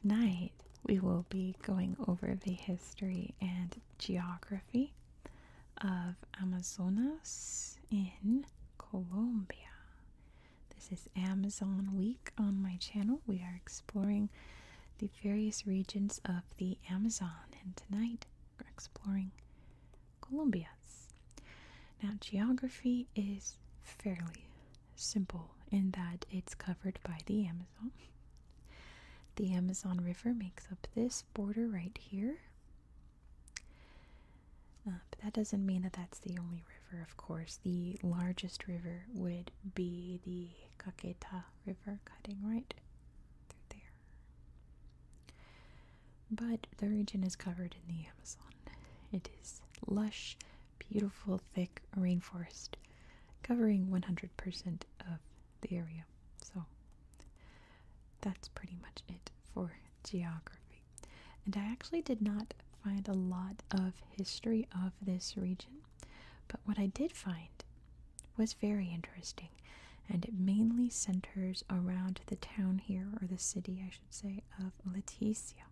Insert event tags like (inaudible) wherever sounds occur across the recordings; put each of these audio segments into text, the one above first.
Tonight we will be going over the history and geography of Amazonas in Colombia. This is Amazon Week on my channel. We are exploring the various regions of the Amazon, and tonight we're exploring Colombia's. Now, geography is fairly simple in that it's covered by the Amazon. The Amazon River makes up this border right here. Uh, but that doesn't mean that that's the only river, of course. The largest river would be the Caqueta River cutting right through there. But the region is covered in the Amazon. It is lush beautiful, thick rainforest covering 100% of the area. So that's pretty much it for geography. And I actually did not find a lot of history of this region, but what I did find was very interesting. And it mainly centers around the town here, or the city, I should say, of Leticia.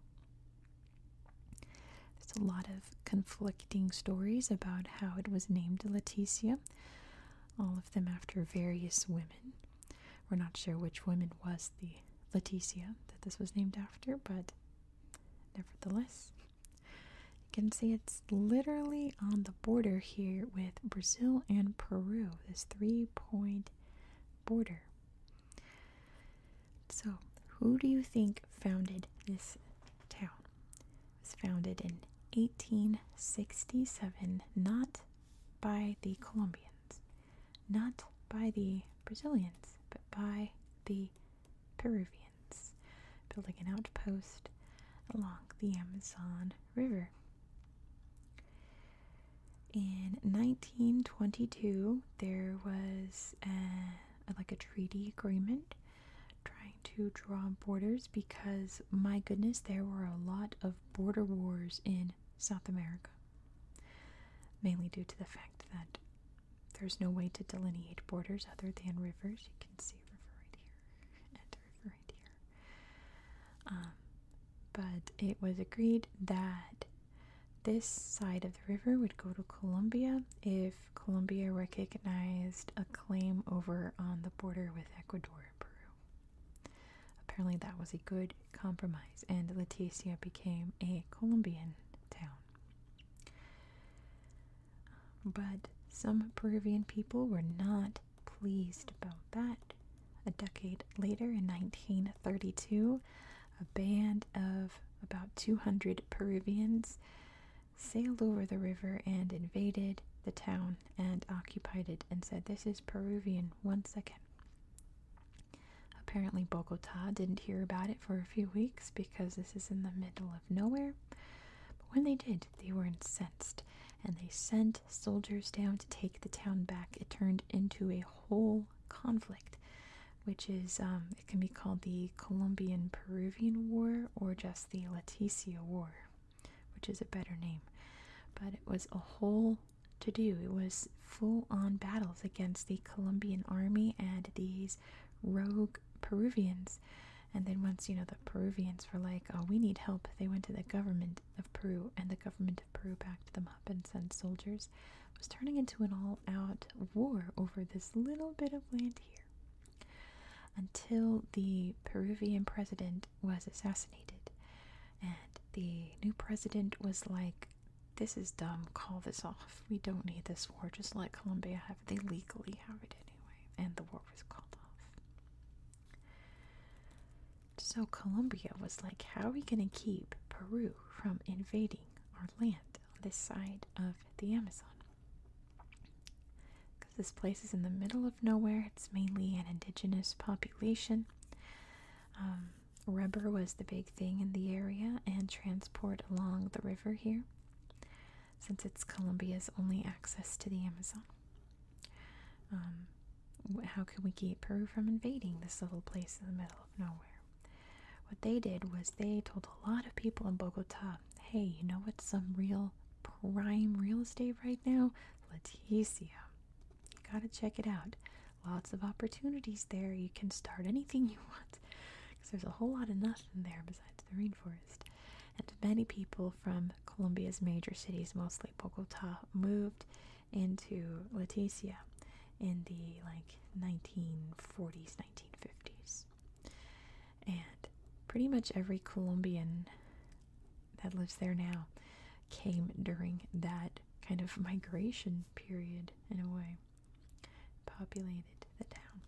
There's a lot of conflicting stories about how it was named Leticia, all of them after various women. We're not sure which woman was the Leticia that this was named after, but nevertheless, you can see it's literally on the border here with Brazil and Peru, this three point border. So, who do you think founded this town? It was founded in 1867, not by the Colombians, not by the Brazilians, but by the Peruvians, building an outpost along the Amazon River. In 1922, there was a like a treaty agreement trying to draw borders because my goodness there were a lot of border wars in South America mainly due to the fact that there's no way to delineate borders other than rivers you can see a river right here and river right here um, but it was agreed that this side of the river would go to Colombia if Colombia recognized a claim over on the border with Ecuador and Peru. Apparently, that was a good compromise, and Leticia became a Colombian town. But some Peruvian people were not pleased about that. A decade later, in 1932, a band of about 200 Peruvians sailed over the river and invaded the town and occupied it and said, This is Peruvian One second. Apparently, Bogota didn't hear about it for a few weeks because this is in the middle of nowhere. But when they did, they were incensed and they sent soldiers down to take the town back. It turned into a whole conflict which is um, it can be called the Colombian Peruvian War or just the Leticia War, which is a better name. But it was a whole to do. It was full on battles against the Colombian army and these rogue Peruvians. And then once, you know, the Peruvians were like, oh, we need help, they went to the government of Peru, and the government of Peru backed them up and sent soldiers was turning into an all out war over this little bit of land here. Until the Peruvian president was assassinated, and the new president was like, This is dumb, call this off. We don't need this war, just let Colombia have it. They legally have it anyway, and the war was called off. So Colombia was like, How are we going to keep Peru from invading? our land on this side of the Amazon. Because this place is in the middle of nowhere, it's mainly an indigenous population. Um, rubber was the big thing in the area and transport along the river here, since it's Colombia's only access to the Amazon. Um, how can we keep Peru from invading this little place in the middle of nowhere? What they did was they told a lot of people in Bogota, hey, you know what's some real prime real estate right now? Leticia. You gotta check it out. Lots of opportunities there. You can start anything you want because there's a whole lot of nothing there besides the rainforest. And many people from Colombia's major cities, mostly Bogota, moved into to Leticia in the like 1940s, 1950s. And pretty much every Colombian that lives there now came during that kind of migration period in a way. Populated the town.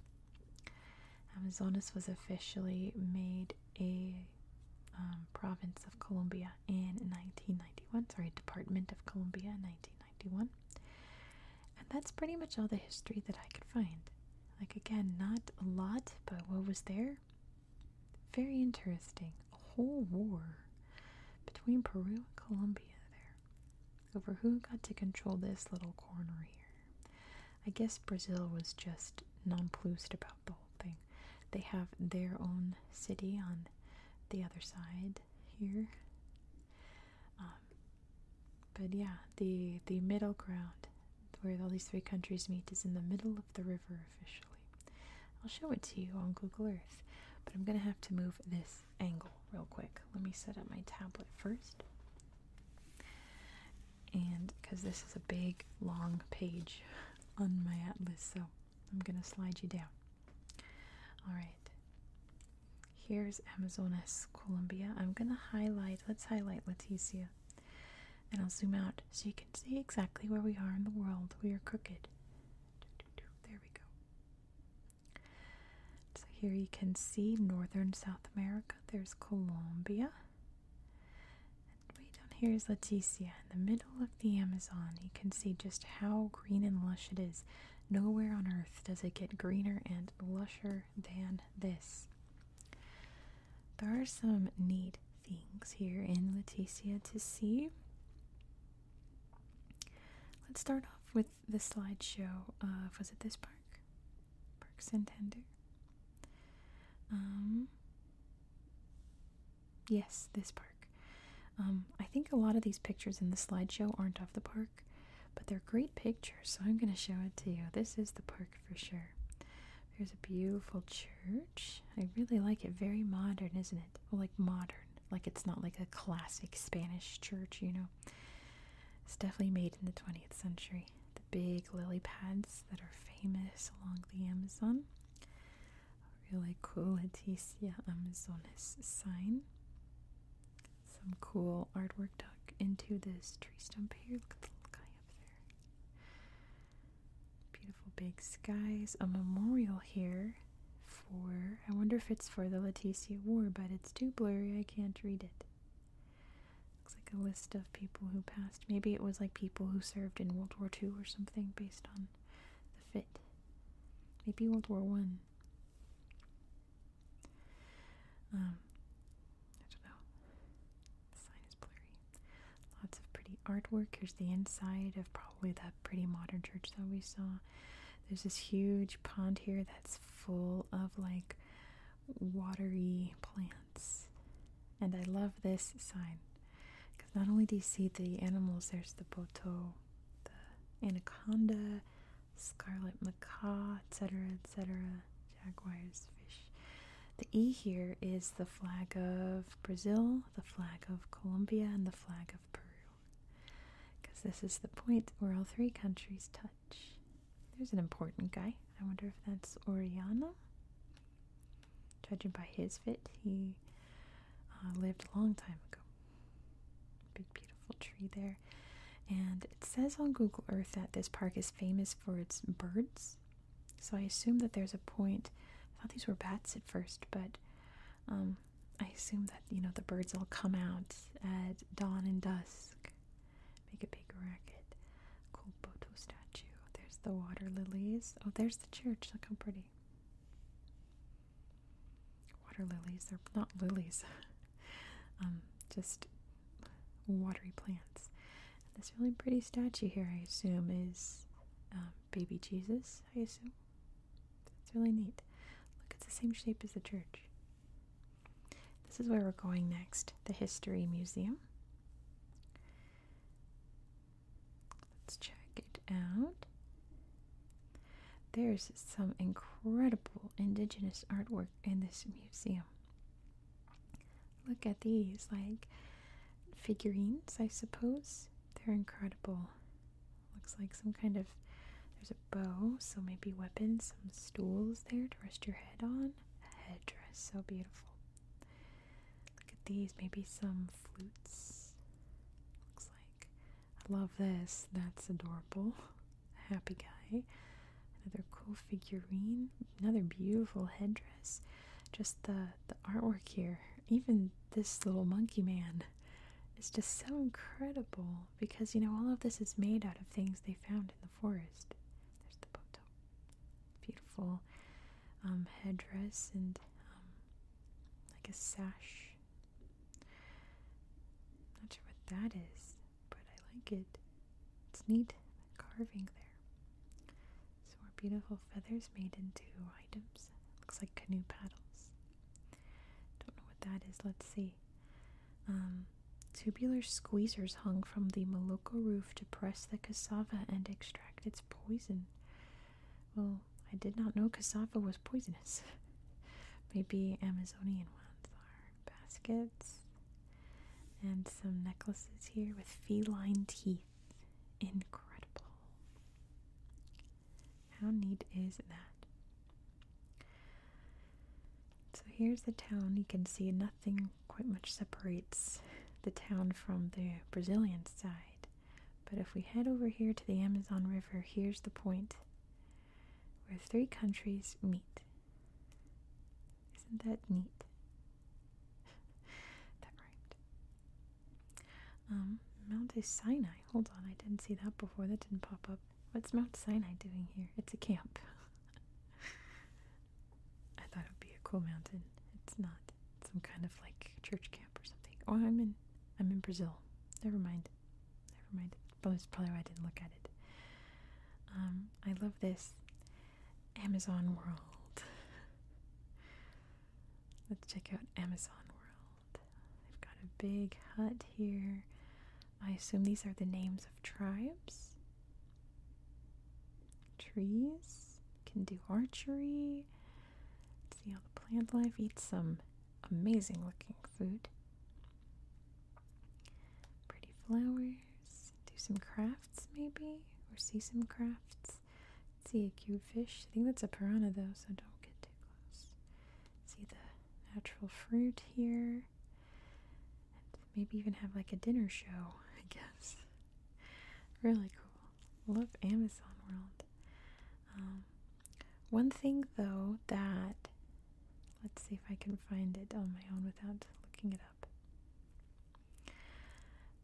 Amazonas was officially made a um, province of Colombia in 1991. Sorry, Department of Columbia 1991. And that's pretty much all the history that I could find. Like, again, not a lot, but what was there? Very interesting. A whole war between Peru and Colombia there over who got to control this little corner here. I guess Brazil was just nonplussed about the whole thing. They have their own city on the other side here. Um, but yeah, the the middle ground where all these three countries meet is in the middle of the river officially. I'll show it to you on Google Earth, but I'm gonna have to move this angle real quick. Let me set up my tablet first. And because this is a big long page (laughs) on my atlas, so I'm gonna slide you down. All right. Here's Amazonas, Colombia. I'm gonna highlight. Let's highlight Leticia, and I'll zoom out so you can see exactly where we are in the world. We are crooked. There we go. So here you can see northern South America. There's Colombia way down here is Leticia. In the middle of the Amazon, you can see just how green and lush it is. Nowhere on earth does it get greener and lusher than this. There are some neat things here in Leticia to see. Let's start off with the slideshow of was it this park? Park Santander. Um Yes, this park. Um, I think a lot of these pictures in the slideshow aren't of the park, but they're great pictures, so I'm going to show it to you. This is the park for sure. There's a beautiful church. I really like it. Very modern, isn't it? like modern. Like it's not like a classic Spanish church, you know. It's definitely made in the 20th century. The big lily pads that are famous along the Amazon really cool Leticia Amazonas sign. Some cool artwork tucked into this tree stump here. Look at the little guy up there. Beautiful big skies. A memorial here for, I wonder if it's for the Leticia War, but it's too blurry. I can't read it. Looks like a list of people who passed Maybe it was like people who served in World War II or something based on the fit. Maybe World War One. Um, I don't know. sign is blurry. Lots of pretty artwork. Here's the inside of probably that pretty modern church that we saw. There's this huge pond here that's full of like watery plants. And I love this sign because not only do you see the animals, there's the boto, the anaconda, scarlet macaw, etc., etc., jaguars, fish. The E here is the flag of Brazil, the flag of Colombia, and the flag of Peru. Because this is the point where all three countries touch. There's an important guy. I wonder if that's Oriana? Judging by his fit, he uh, lived a long time ago. Big, beautiful tree there. And it says on Google Earth that this park is famous for its birds. So I assume that there's a point. I thought these were bats at first, but um, I assume that, you know, the birds all come out at dawn and dusk, make a big racket. Kulboto statue. There's the water lilies. Oh, there's the church. Look how pretty. Water lilies. are not lilies. (laughs) um, just watery plants. this really pretty statue here, I assume, is um, baby Jesus, I assume. It's really neat. Look, it's the same shape as the church. This is where we're going next, the History Museum. Let's check it out. There's some incredible indigenous artwork in this museum. Look at these, like figurines, I suppose. They're incredible. Looks like some kind of there's a bow, so maybe weapons, some stools there to rest your head on, a headdress, so beautiful. Look at these, maybe some flutes. Looks like. I love this. That's adorable. (laughs) Happy guy. Another cool figurine. Another beautiful headdress. Just the the artwork here. Even this little monkey man is just so incredible because you know all of this is made out of things they found in the forest. There's the boat. Beautiful um, headdress and um, like a sash. Not sure what that is, but I like it. It's neat carving there. So our beautiful feathers made into items. Looks like canoe paddles. Don't know what that is. Let's see. Um, tubular squeezers hung from the roof to press the cassava and extract its poison. Well, I did not know cassava was poisonous. (laughs) Maybe Amazonian ones are. Baskets. And some necklaces here with feline teeth. Incredible. How neat is that? So here's the town. You can see nothing quite much separates the town from the Brazilian side. But if we head over here to the Amazon River, here's the point where three countries meet. Isn't that neat? (laughs) that rhymed. Um, Mount Sinai. Hold on, I didn't see that before. That didn't pop up. What's Mount Sinai doing here? It's a camp. (laughs) I thought it would be a cool mountain. It's not. some kind of like church camp or something. Oh, I'm in. I'm in Brazil. Never mind. Never mind. That's probably why I didn't look at it. Um, I love this Amazon World. (laughs) Let's check out Amazon World. They've got a big hut here. I assume these are the names of tribes trees. Can do archery. See how the plant life. eats some amazing looking food. Pretty flowers. Do some crafts maybe. Or see some crafts. See a cute fish. I think that's a piranha though, so don't get too close. See the natural fruit here. Maybe even have like a dinner show, (laughs) I guess. really cool. Love Amazon World. Um, one thing though that, let's see if I can find it on my own without looking it up.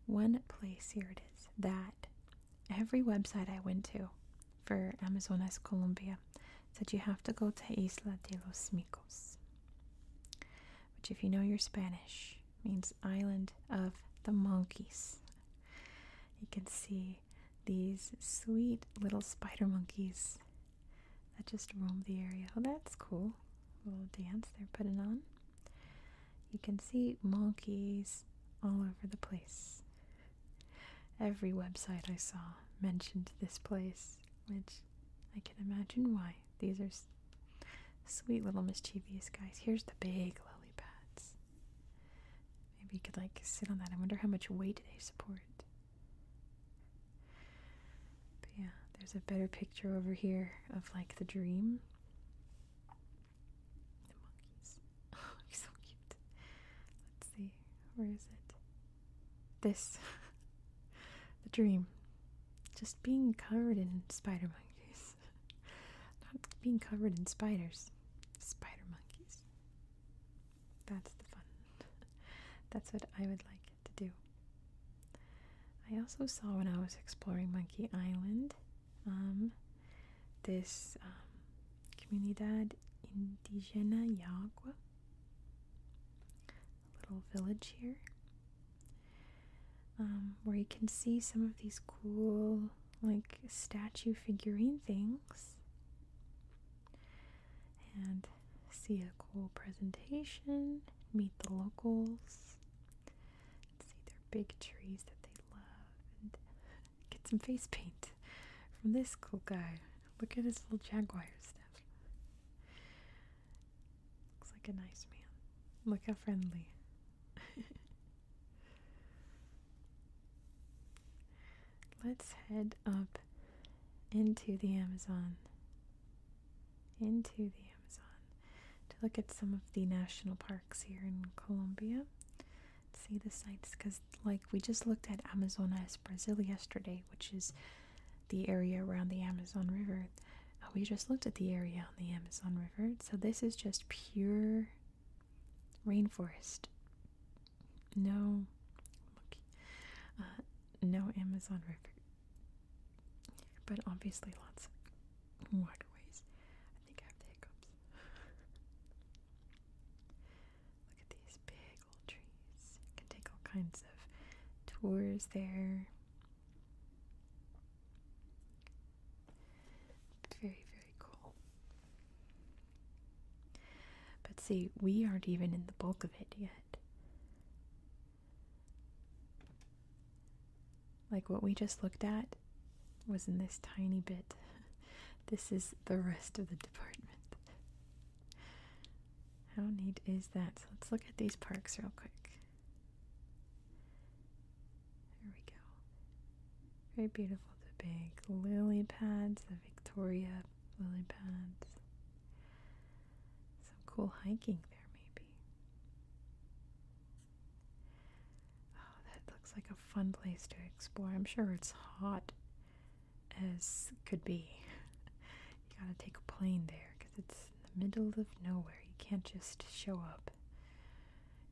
One place, here it is, that every website I went to for Amazonas Colombia said you have to go to Isla de los Micos which, if you know your Spanish, means Island of the Monkeys. You can see these sweet little spider monkeys that just roam the area. Oh, that's cool. Little dance they're putting on. You can see monkeys all over the place. Every website I saw mentioned this place which I can imagine why. These are sweet little mischievous guys. Here's the big lily pads. Maybe you could like sit on that. I wonder how much weight they support. But yeah, there's a better picture over here of like the dream. The monkeys. (laughs) Oh, he's so cute. Let's see. Where is it? this (laughs) the dream just being covered in spider monkeys (laughs) not being covered in spiders spider monkeys that's the fun (laughs) that's what i would like to do i also saw when i was exploring monkey island um, this um, comunidad indigena yagua little village here um, where you can see some of these cool, like, statue figurine things and see a cool presentation, meet the locals, see their big trees that they love, and get some face paint from this cool guy. Look at his little jaguar stuff. Looks like a nice man. Look how friendly. (laughs) Let's head up into the Amazon. Into the Amazon to look at some of the national parks here in Colombia. See the sites because, like, we just looked at Amazonas Brazil yesterday, which is the area around the Amazon River. Uh, we just looked at the area on the Amazon River, so this is just pure rainforest. No, look, uh, no Amazon River, but obviously lots of waterways. I think I have the hiccups. Look at these big trees. You can take all kinds of tours there. Very, very cool. But see, we aren't even in the bulk of it yet. Like what we just looked at was in this tiny bit. (laughs) This is the rest of the department. How neat is that? So let's look at these parks real quick. There we go. Very beautiful. The big lily pads, the Victoria lily pads. Some cool hiking there, maybe. Oh, that looks like a fun place to explore. I'm sure it's hot as could be. you gotta take a plane there because it's in the middle of nowhere. You can't just show up.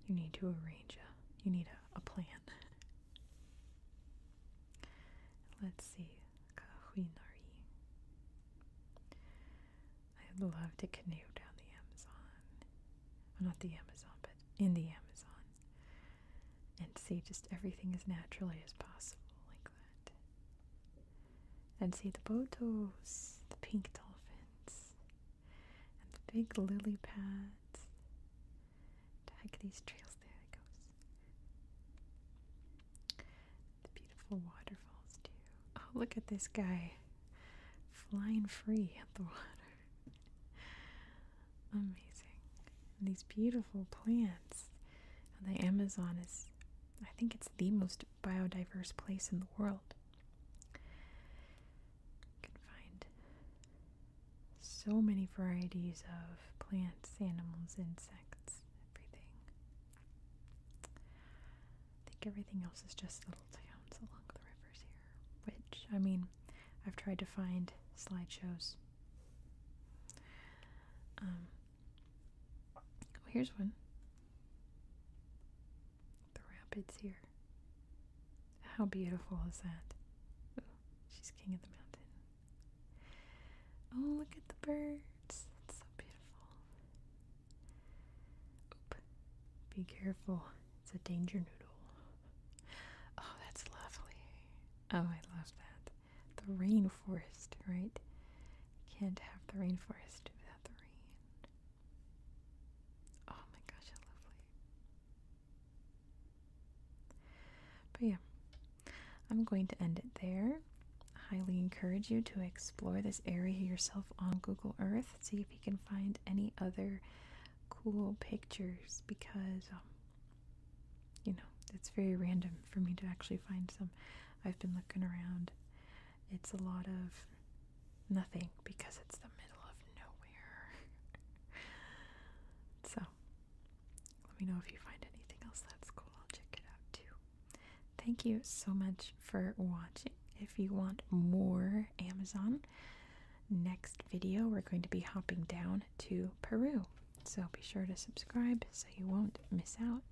You need to arrange a you need a, plan. (laughs) Let's see. Kahuinari. I'd love to canoe down the Amazon. Well, not the Amazon, but in the Amazon and see just everything as naturally as possible, like that. And see the bottos, the pink dolphins, and the big lily pads. To hike these trails, there it goes. The beautiful waterfalls, too. Oh, look at this guy flying free at the water. (laughs) Amazing. these beautiful plants. the Amazon is, I think it's the most biodiverse place in the world. You can find so many varieties of plants, animals, insects, everything. I think everything else is just little towns along the rivers here. Which, I mean, I've tried to find slideshows um, oh, here's one. The rapids here. How beautiful is that? she's king of the mountain. Oh, look at the birds. It's so beautiful. Oop. Be careful. It's a danger noodle. Oh, that's lovely. Oh, I love that. The rainforest, right? You can't have the rainforest without the rain. Oh my gosh, how lovely. But yeah, I'm going to end it there. highly encourage you to explore this area yourself on Google Earth. See if you can find any other cool pictures because um, you know, it's very random for me to actually find some. I've been looking around. It's a lot of nothing because it's the middle of nowhere. (laughs) so, let me know if you find anything else that's cool. I'll check it out too. Thank you so much for watching. If you want more Amazon, next video, we're going to be hopping down to Peru. So be sure to subscribe so you won't miss out.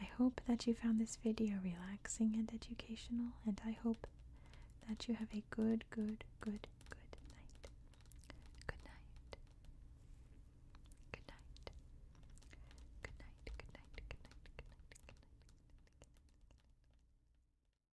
I hope that you found this video relaxing and educational, and I hope that you have a good, good, good, good night. Good night. Good night. Good night. Good night. Good night. Good night. Good night.